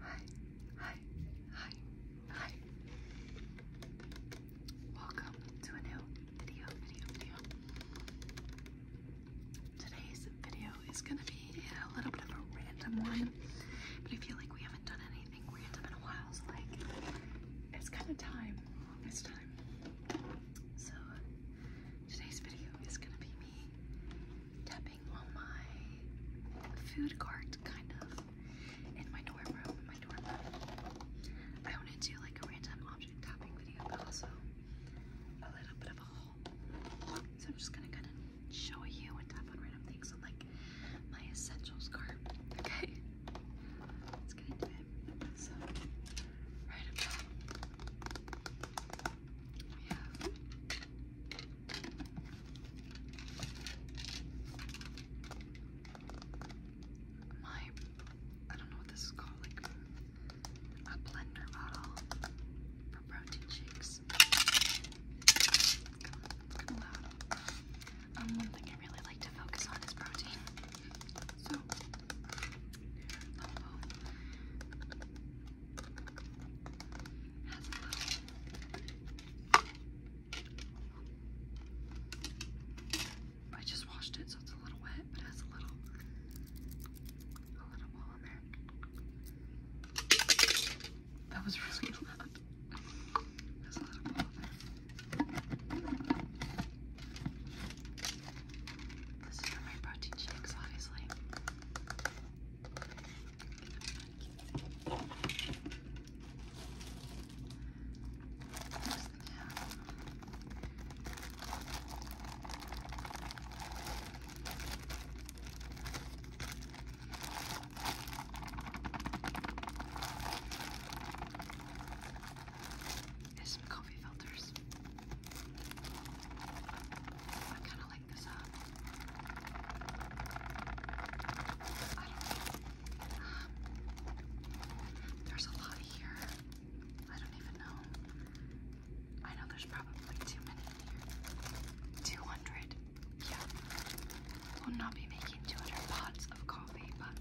Hi, hi, hi, hi. Welcome to a new video, video, video. Today's video is gonna be a little bit of a random one, but I feel like we haven't done anything random in a while, so like, it's kind of time, it's time. So, today's video is gonna be me tapping on my food cart, kind of, in my dorm room, my dorm room. I want to do like a random object tapping video, but also a little bit of a haul. So I'm just gonna kind of show you and tap on random things So like my essentials cart. Okay, let's get into it. So right about we have my, I don't know what this is called, like a blender bottle for protein shakes. Um, one thing I really like to focus on is protein. Oh, oh as well. I just washed it, so it's a little wet, but it has a little, a little ball in there. That was really good. This is for my protein shakes, obviously. There's some coffee filters. I kind of like. Um, I don't know. Um, there's a lot here. I don't even know. I know there's probably too many here. 200. Yeah. We'll not be making 200 pots of coffee, but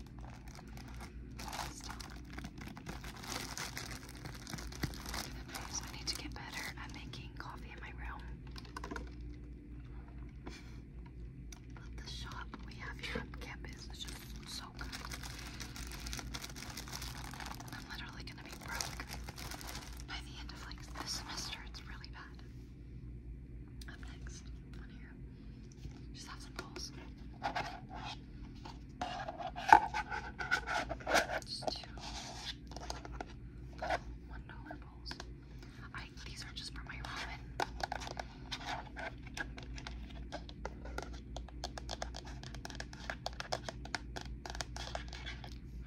I need to get better at making coffee in my room. the shop we have campus is just so good. I'm literally gonna be broke by the end of like this semester. It's really bad. Up next on here, just have some bowls. Just one dollar bowls. I these are just for my ramen.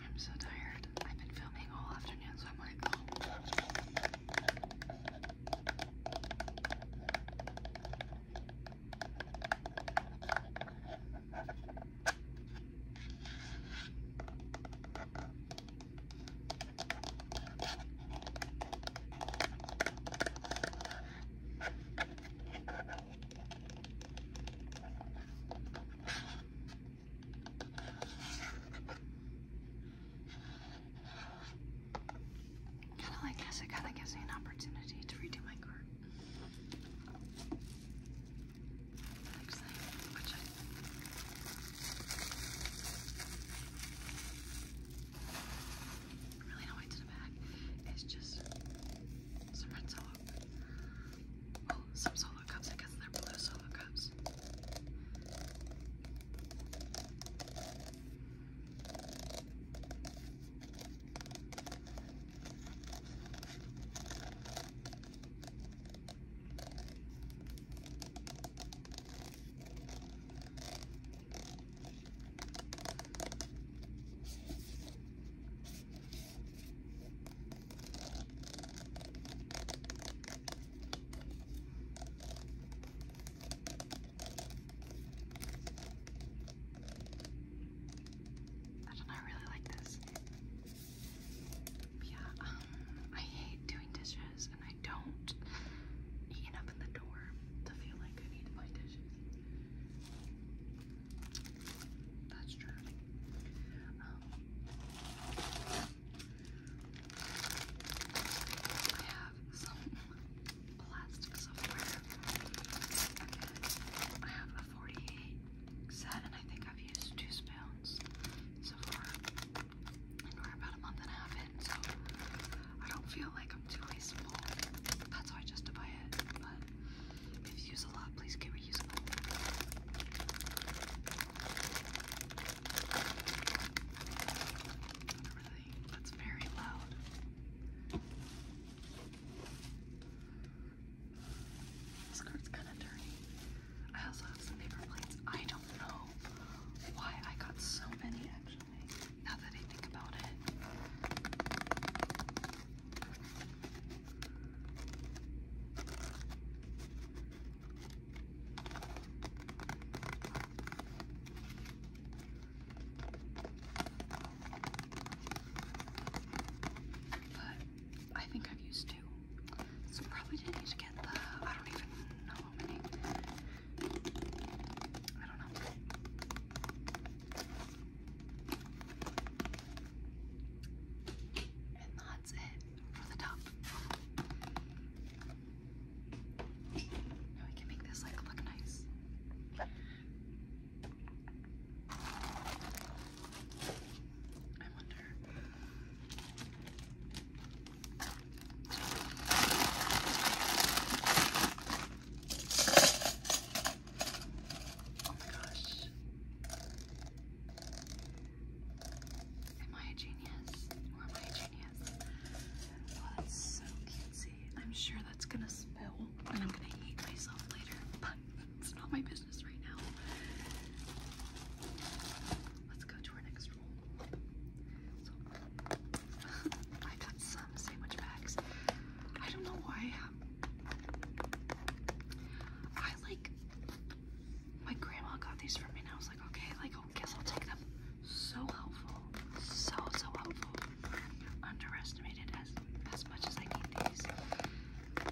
I'm so tired. I've been filming all afternoon, so I'm like, oh. Kind of like this, it kind of gives me an opportunity to redo my card. Actually, which I really know I back. It's just some red solo. Well, some solo cups. I guess they're blue solo cups. I don't know, I really like this. Yeah, um, I hate doing dishes and I don't eating up the door to feel like I need my dishes. That's true. Um, I have some plastic somewhere. I have 48 set, and I think I've used two spoons so far. we're about a month and a half in, so I don't feel like I'm too wasteful. That's why I justify it. But if you use a lot, please get reusable. that's very loud. This card's kind of dirty. I also have some paper plates. I don't know why I got so many actually, now that I think about it. But I think I've used two. So probably didn't need to get the, I don't even know how many. I don't know. And that's it for the top. Now we can make this like look nice. I wonder. Oh my gosh. Am I a genius? Or am I a genius? Oh, that's so cutesy. I'm sure that's gonna spill and I'm gonna eat myself later, but it's not my business. Let's go to our next roll. I got some sandwich bags. I don't know why. I like. My grandma got these for me, and I was like, okay, like, oh, guess I'll take them. So helpful, so so helpful. Underestimated as as much as I need these. The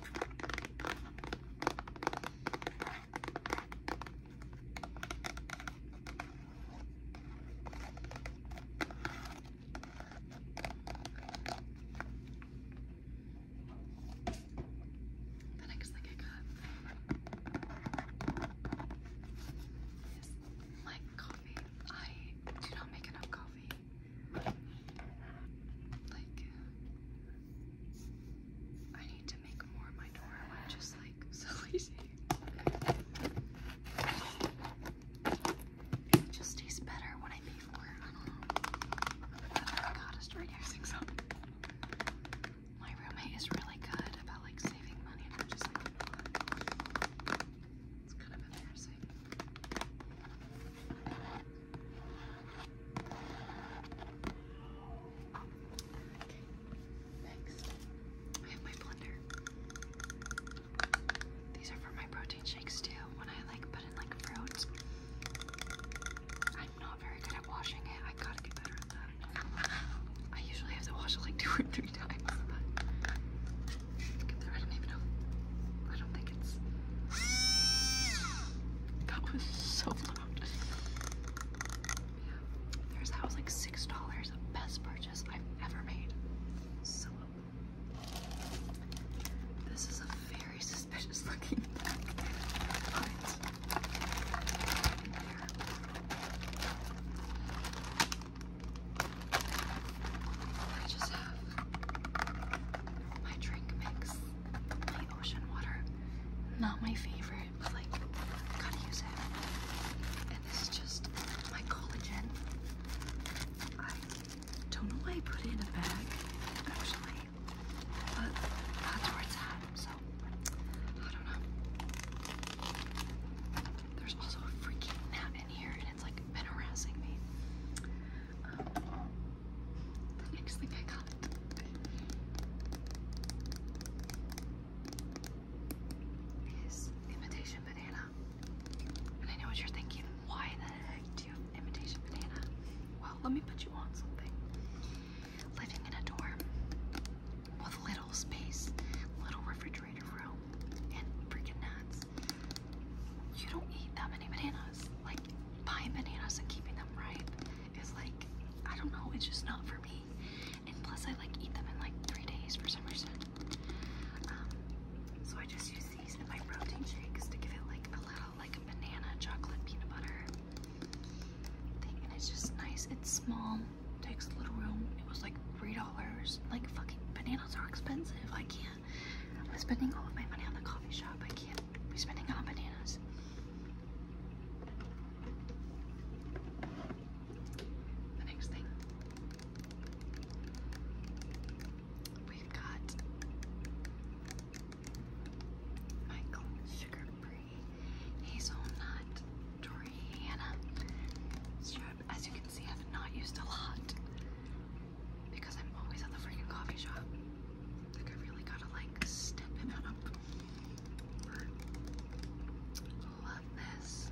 next thing I got is my coffee. I do not make enough coffee. Like, I need to make more of my door. I'm just like so It just tastes better when I pay for it. I don't know. Oh my god, I using some. My roommate is really good about like saving money, and just like. It's kind of embarrassing. next, I have my blender. These are for my protein shakes too. When I like put in like fruits, I'm not very good at washing it. I gotta get better at that. I usually have to wash it like two or three times. That was so loud. There's that was like six dollars. Best purchase I've ever made. So this is a very suspicious looking I just have my drink mix, my ocean water. Not my favorite, but like, gotta use it. And this is just my collagen. I don't know why I put it in a bag, actually, but that's where it's at, so I don't know. There's also a freaking nap in here, and it's like been harassing me the next thing I got. Is imitation banana. And I know what you're thinking, why the heck do imitation banana? Well, let me put you on something. Living in a dorm with little space, little refrigerator room, and freaking nuts you don't eat that many bananas. Like buying bananas and keeping them ripe is like I don't know, it's just not for me. And plus I like eat them in like three days for some reason. Um, so I just use these in my protein shakes to give it like a little like a banana chocolate peanut butter thing and it's just nice. It's small, takes little room. It was like three dollars. Like fucking bananas are expensive. I can't I'm spending all of my money on the coffee shop. I can't be spending on bananas. The next thing we've got Michael Sugar Hazelnut Toriana As you can see, I've not used a lot because I'm always at the freaking coffee shop. Like I really gotta like step it up. Love this.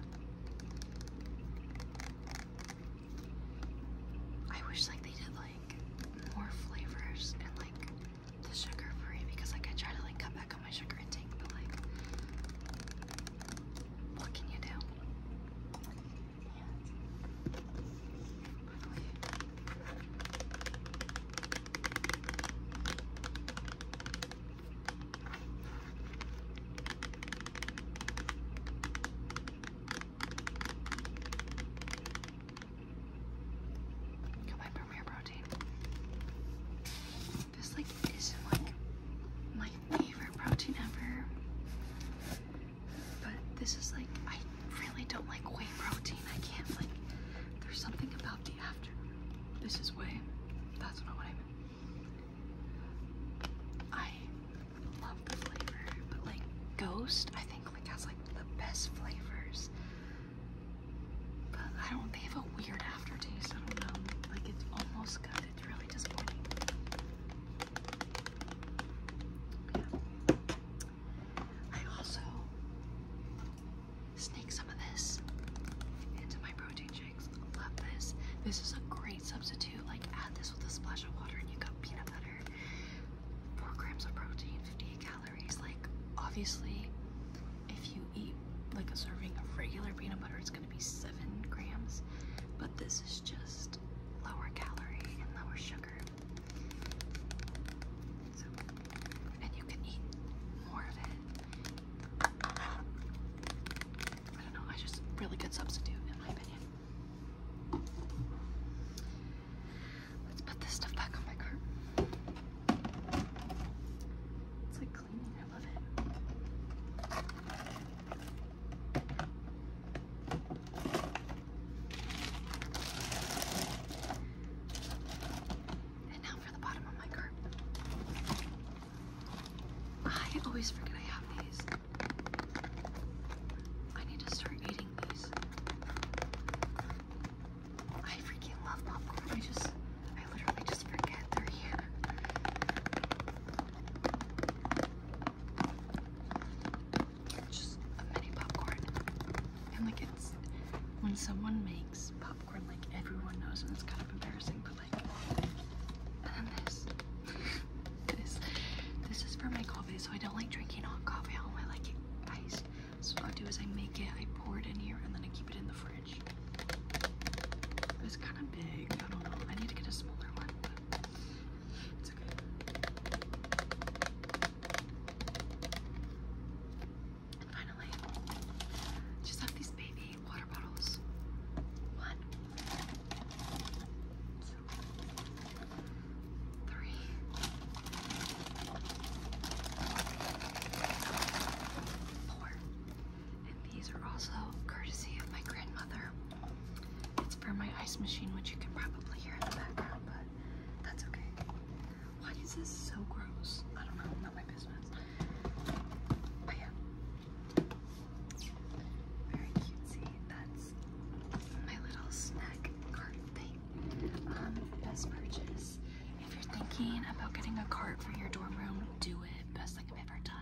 I wish like they did like more flavors and like the sugar free because like I try to like cut back on my sugar intake but like what can you do? Got my Premier Protein. This like isn't like my favorite protein ever. But this is like, I really don't like whey protein. I can't like, there's something about the after. This is whey. That's not what I mean. I love the flavor, but like Ghost, I think like has like the best flavors. But I don't, they have a weird aftertaste. I don't know. Like it's almost good. It's really disappointing. I also sneak some of this into my protein shakes. Love this. This is a great substitute. Like add this with a splash of water and you got peanut butter. Four grams of protein, 58 calories. Like obviously if you eat like a serving of regular peanut butter, it's be seven grams, but this is just lower calorie and lower sugar. and you can eat more of it. I don't know, I just really good substitute in my opinion. Let's put this stuff back on my cart. It's like cleaning, I love it. And now for the bottom of my cart. I always forget I have these. I need to start eating these. I freaking love popcorn. I just, I literally just forget they're here. Just a mini popcorn. And like it's when someone makes popcorn, like everyone knows, and it's kind of embarrassing, but like. this. this. This is for my coffee, so I don't like drinking hot coffee. I like it iced. So what I do is I make it, I pour it in here, and then I keep it in the fridge. It's kind of big. I don't know. I need to get a smaller one. It's okay. finally, just have these baby water bottles. One, two, and these are also courtesy of my grandmother. It's for my ice machine, which you can probably hear in the background, but that's okay. Why is this so gross? I don't know, not my business. But yeah. Very cutesy. That's my little snack cart thing. Um, best purchase. If you're thinking about getting a cart for your dorm room, do it. Best thing I've ever done.